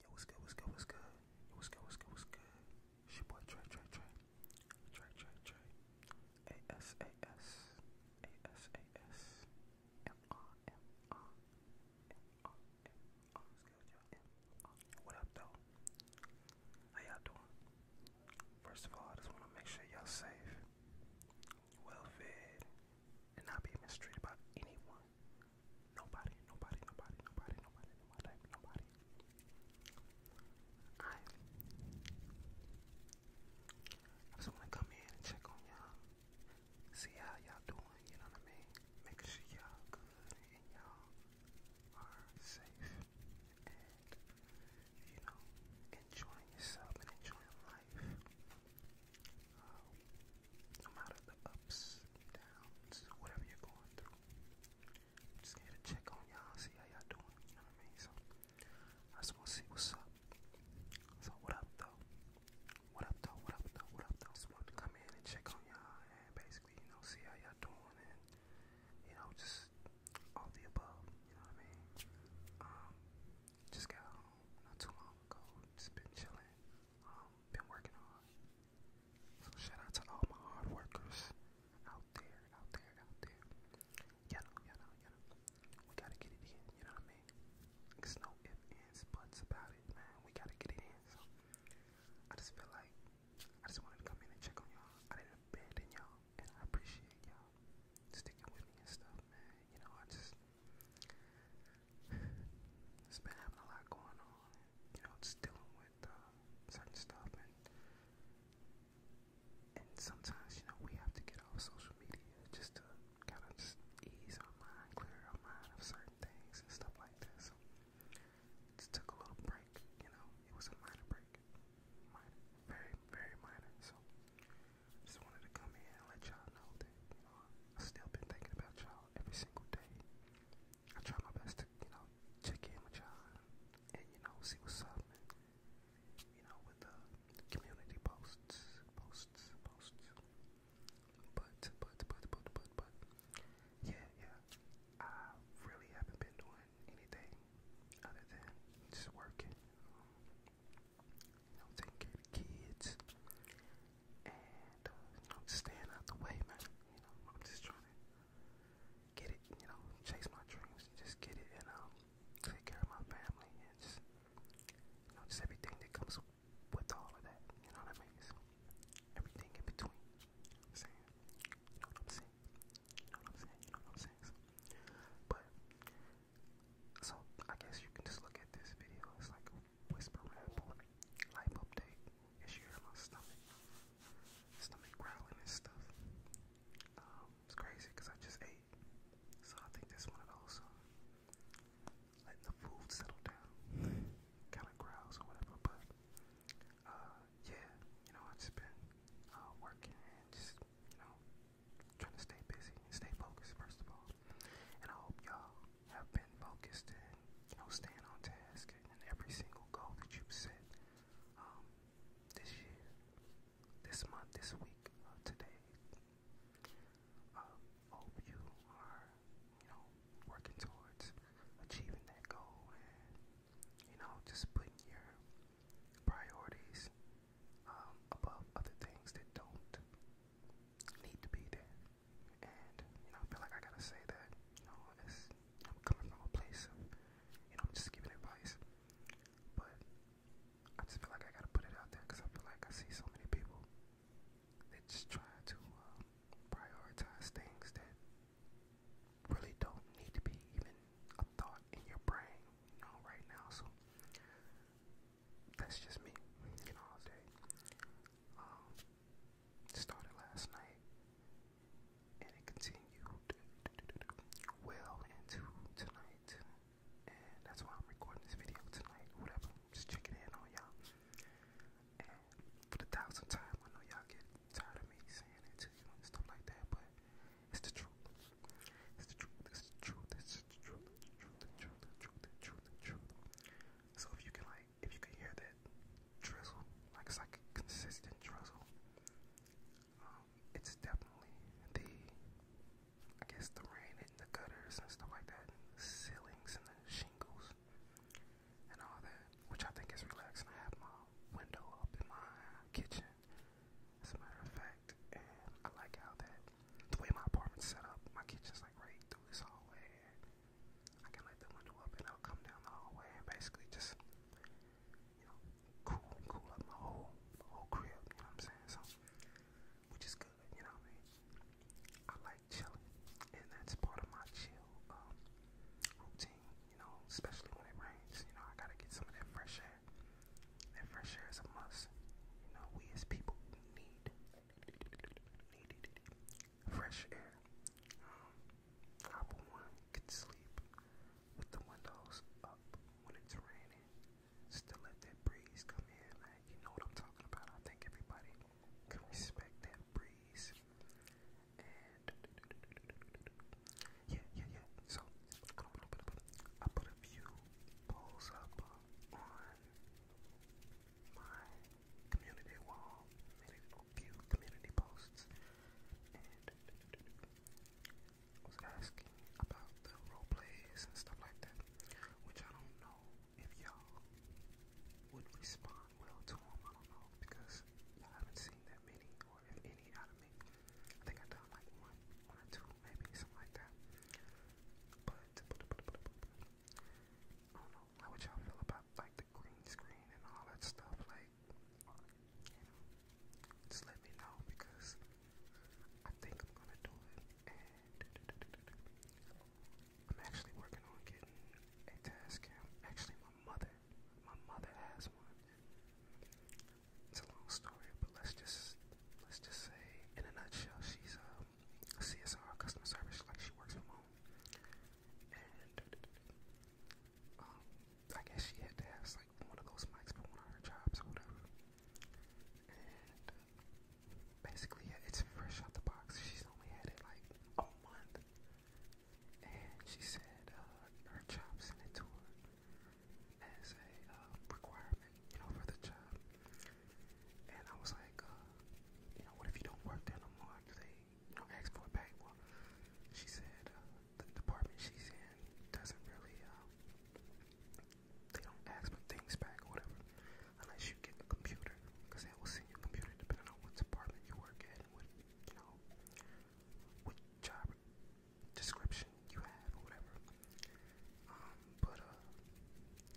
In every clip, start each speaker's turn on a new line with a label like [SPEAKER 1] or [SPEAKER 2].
[SPEAKER 1] Yo, what's good, what's good, what's good? Yo, what's good, what's good, what's good? It's your boy Trey, Trey, Trey. Trey, Trey, Trey. A-S, A-S. A-S, A-S. M-R, M-R. M-R, M-R. What's good, y'all? M-R. What up, though? How y'all doing? First of all, I just want to make sure y'all safe, well fed, and not be mistreated by anyone. Nobody, nobody, nobody, nobody, nobody, nobody, nobody. I, I just wanna come in and check on y'all, see how y'all doing, you know what I mean? Making sure y'all good and y'all are safe and, you know, enjoying yourself and enjoying life uh, no matter the ups, downs, whatever you're going through. I'm just here to check on y'all, see how y'all doing, you know what I mean? So I just wanna see what's up. So what up though? What up though? What up though? What up though? I just wanted to come in and check on y'all and basically, you know, see how y'all doing and you know, just all the above, you know what I mean? Um just got home not too long ago, just been chilling. Um, been working on. So shout out to all my hard workers out there, out there, out there. You know, you know, you know. We gotta get it in, you know what I mean? There's no ifs, ands, buts about it, man. We gotta get it in. So I just feel like I just wanted to come in and check on y'all. I didn't abandon y'all, and I appreciate y'all sticking with me and stuff, man. You know, I just it's been having a lot going on. You know, it's dealing with uh, certain stuff, and and sometimes you know we have to get off social media just to kind of just ease our mind, clear our mind of certain things and stuff like that. just took a little break. You know, it was a minor break, minor, very very minor. So. Just wanted to come in and let y'all know that, you know, I've still been thinking about y'all every single day. I try my best to, you know, check in with y'all and, you know, see what's up, and, you know, with the community posts, posts, posts. But, but, but, but, but, but, yeah, yeah, I really haven't been doing anything other than just working you know, taking care of the kids, and uh, you just staying out the way, man. You know, I'm just trying to get it, you know, chase my dreams, just get it, and um, take care of my family, and just, you know, just everything that comes with all of that. You know what I mean? everything in between. saying? You know what I'm saying? You know what I'm saying? You know what I'm saying? but so I guess you can just look at this video. It's like whispering, whisper life update. And hear my stomach, stomach growling and stuff. Um, it's crazy because I just ate. So I think that's one of those. Uh, letting the food settle down, kind of growls or whatever. But uh, yeah, you know, i just been uh, working just you know trying to stay busy and stay focused first of all. And I hope y'all have been focused and you know staying on task and every single goal that you have set um, this year, this month, this week, uh, today. Uh, hope you are you know working towards achieving that goal and you know just putting your priorities um, above other things that don't need to be there. And you know, I feel like I gotta say that. You know, it's, I'm coming from a place you know, I'm just giving advice, but I just feel like I gotta put it out there because I feel like I see so many people that just try to um, prioritize things that really don't need to be even a thought in your brain, you know, right now. So that's just me, you know, all day. Um, started last night, and it continued well into tonight, and that's why I'm recording this video tonight, whatever, just checking in on y'all. for the thousandth time, I know y'all get tired of me saying it to you and stuff like that, but it's the truth. It's So if you can like if you can hear that drizzle, like it's like consistent drizzle, um, it's definitely the I guess the rain hitting the gutters and stuff like that, ceilings and the shingles and all that, which I think is relaxing. I have my window up in my kitchen as a matter of fact. And I like how that the way my apartment's set up, my kitchen's like right through this hallway. I can let the window up and I'll come down the hallway and basically just you know cool cool up my whole whole crib, you know what I'm saying? So which is good, you know what I mean? I like chilling and that's part of my chill um, routine, you know, especially when it rains, you know, I gotta get some of that fresh air. That fresh air is a must. You know, we as people need fresh air. Um, I for one sleep with the windows up when it's raining. Just let that breeze come in, man. You know what I'm talking about. I think everybody can respect that breeze yeah, yeah, yeah. So I put a few polls up on my community wall, made a few community posts, and was asking about the role plays and stuff like that, which I don't know if y'all would respond well to them. I don't know because you haven't seen that many more, any, out of me. I think I done like one, maybe something like that. But, I don't know. How would y'all feel about like the green screen and all that stuff? Like, just let me know because I think I'm gonna do it. I'm actually working on getting a task cam. Actually, my mother, my mother has one. It's a long story, but let's just let's just say in a nutshell, she's um, a CSR customer service, like she works from home, and um, I guess she had to have like one of those mics for one of her jobs or whatever, and basically yeah, it's fresh out the box. She's only had it like a month, and she said uh, her job sent it to her as a uh, requirement, you know, for the job. And I was like, uh, you know, what if you don't work there no more? Do they, you know, ask for it back? Well, she said uh, the department she's in doesn't really, uh, they don't ask for things back or whatever, unless you get a computer, because they will send you a computer depending on what department you work at and what, you know, what job description you have or whatever. Um, but uh,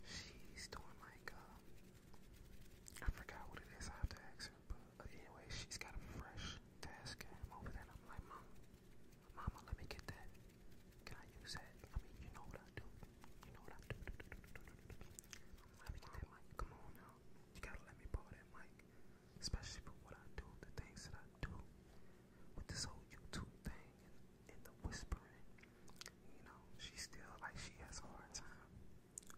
[SPEAKER 1] she's doing like uh, I forgot what it is. I have to ask her. But uh, anyway, she's got a fresh task cam over there. I'm like, mom, mama, let me get that. Can I use that? I mean, you know what I do. You know what I do. do, do, do, do, do, come on now. You gotta let me borrow that mic especially for what I do, the things that I do with this whole YouTube thing and, the whispering. You know, she still like she has a hard time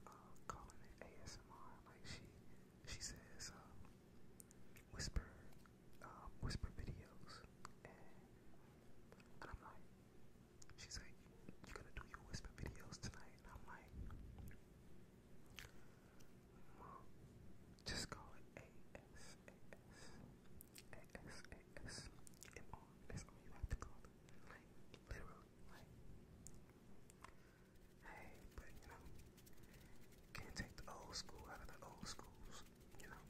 [SPEAKER 1] uh, calling it ASMR. Like she she says uh, whisper uh, whisper videos, and I'm like, she's like, you're gonna do your whisper videos tonight, and I'm like. Well, just call it A-S, A-S, A-S, A-S, and all, that's all you have to call it, like, literally, like, hey, but, you know, can't take the old school out of the old schools, you know,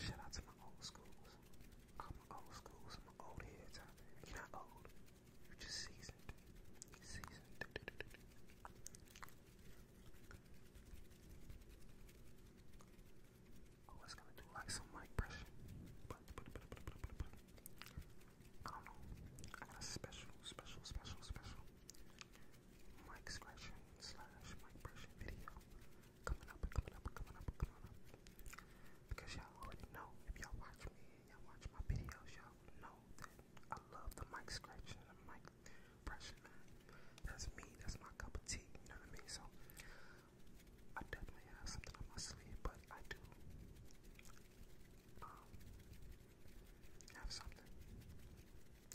[SPEAKER 1] shout out to my old schools, all my old schools, my old heads out there, you're not old, you gonna do like some mic pressure, but, I don't know. I got a special, special, special, special mic scratching slash mic pressure video coming up, coming up, coming up, coming up. Because y'all already know if y'all watch me, y'all watch my videos, y'all know that I love the mic scratching and the mic brushing, That's me. That's my cup of tea. You know what I mean? So I definitely have something on my sleeve, but I do um, have something.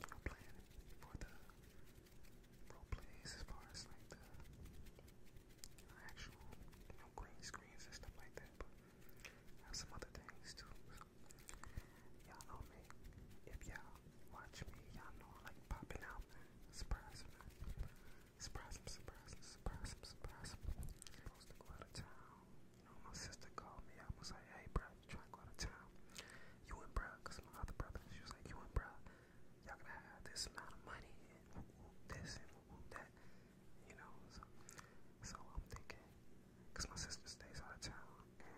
[SPEAKER 1] I'm playing for the role plays as far as like the actual you green screens and stuff like that. Have some other things too. y'all know me. If y'all watch me, y'all know I like popping out, man. Surprise, man. Surprise surprise surprise him, surprise Supposed to go out of town. You know, my sister called me. I was like, hey, bro, you trying to go out of town? You and bro, my other brother, she was like, you and bro, y'all gonna have this amount of money and this and that you know. So, I'm thinking, cause my sister stays out of town, and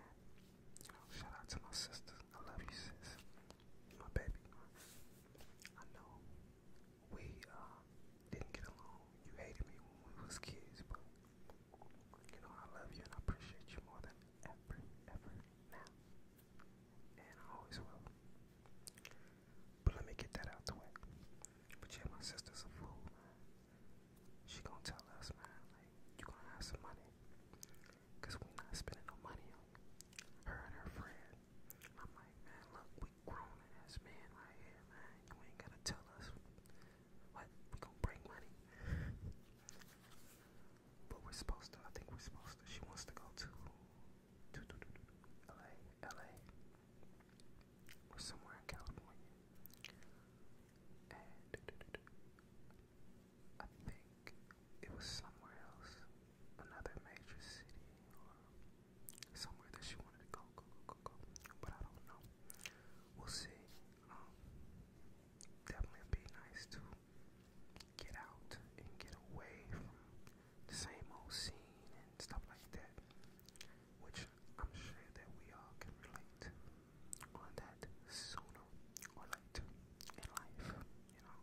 [SPEAKER 1] you know, shout out to my sister. I love you, sis. My baby. I know we uh, didn't get along. You hated me when we was kids, but you know I love you and I appreciate you more than ever, ever now, and I always will. But let me get that out the way. But yeah, my sister's a fool, She gonna tell us, man, you gonna have some money. Cause we not spending no money her and her friend. I'm like, man, look, we grown ass men right here, man. You ain't gotta tell us what we gonna bring money. but we're supposed to, I think we're supposed to, she wants to go to, to, to, to, to LA, LA was somewhere in California. And I think it was somewhere else, another major city or somewhere that she wanted to go, go, go, go, go. But I don't know. We'll see. Um, definitely be nice to get out and get away from the same old scene and stuff like that which I'm sure that we all can relate on that sooner or later in life. You know,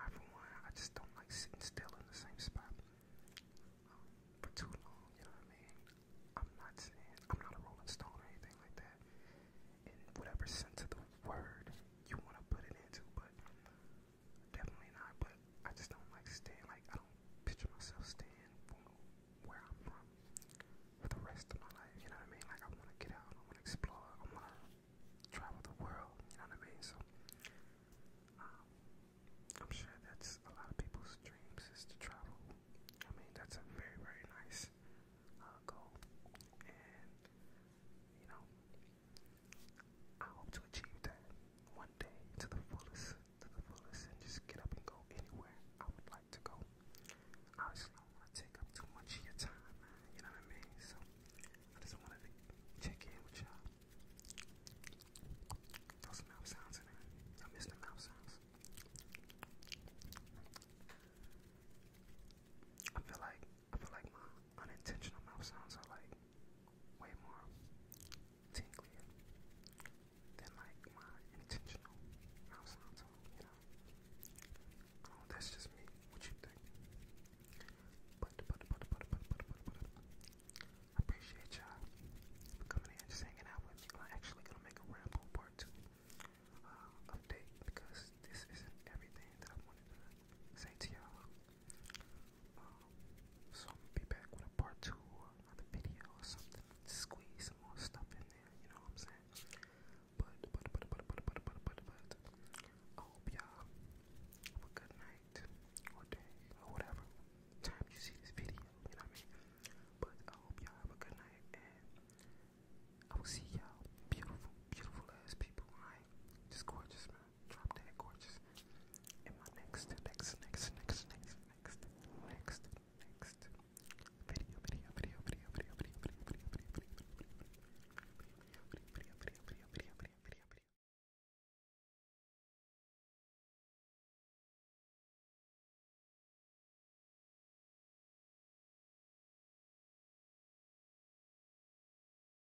[SPEAKER 1] I for one, I just don't like sitting still in the same spot um, for too long. You know what I mean? I'm not I'm not a Rolling Stone or anything like that. In whatever sense of the word you want to put it into, but Definitely not, but I just don't like staying. Like, I don't picture myself staying from where I'm from for the rest of my life. You know what I mean? Like, I want to get out. I want to explore. I want to travel the world. You know what I mean? So, um, I'm sure that's a lot of people's dreams is to travel. I mean, that's a very, very nice uh, goal. And, you know, I hope to achieve that one day to the fullest, to the fullest, and just get up and go anywhere I would like to go. Obviously, I don't want to take up too much of your time, man. You know what I mean? So, I just wanted to check in with y'all. Throw some mouth sounds in there. I miss the mouth sounds. I feel like I feel like my unintentional mouth sounds are like way more tinglier than like my intentional mouth you know. Oh, that's just me. What you think? appreciate y'all coming in just hanging out with me. I'm actually gonna make a ramble part two uh, update because this isn't everything that I wanted to say to y'all. Um, so I'm gonna be back with a part two of the video or something. Squeeze some more stuff in there, you know what I'm saying? But but but but but but but but but I hope y'all have a good night or day or whatever time you see this video, you know what I mean? But I hope y'all have a good night and I will see y'all beautiful, beautiful ass people, alright? Just gorgeous, Drop dead gorgeous. In my next, next, next, next, next, next, next, next video, video, video, video, video, video, video, video, video, video, video, video, video, video, video,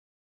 [SPEAKER 1] video.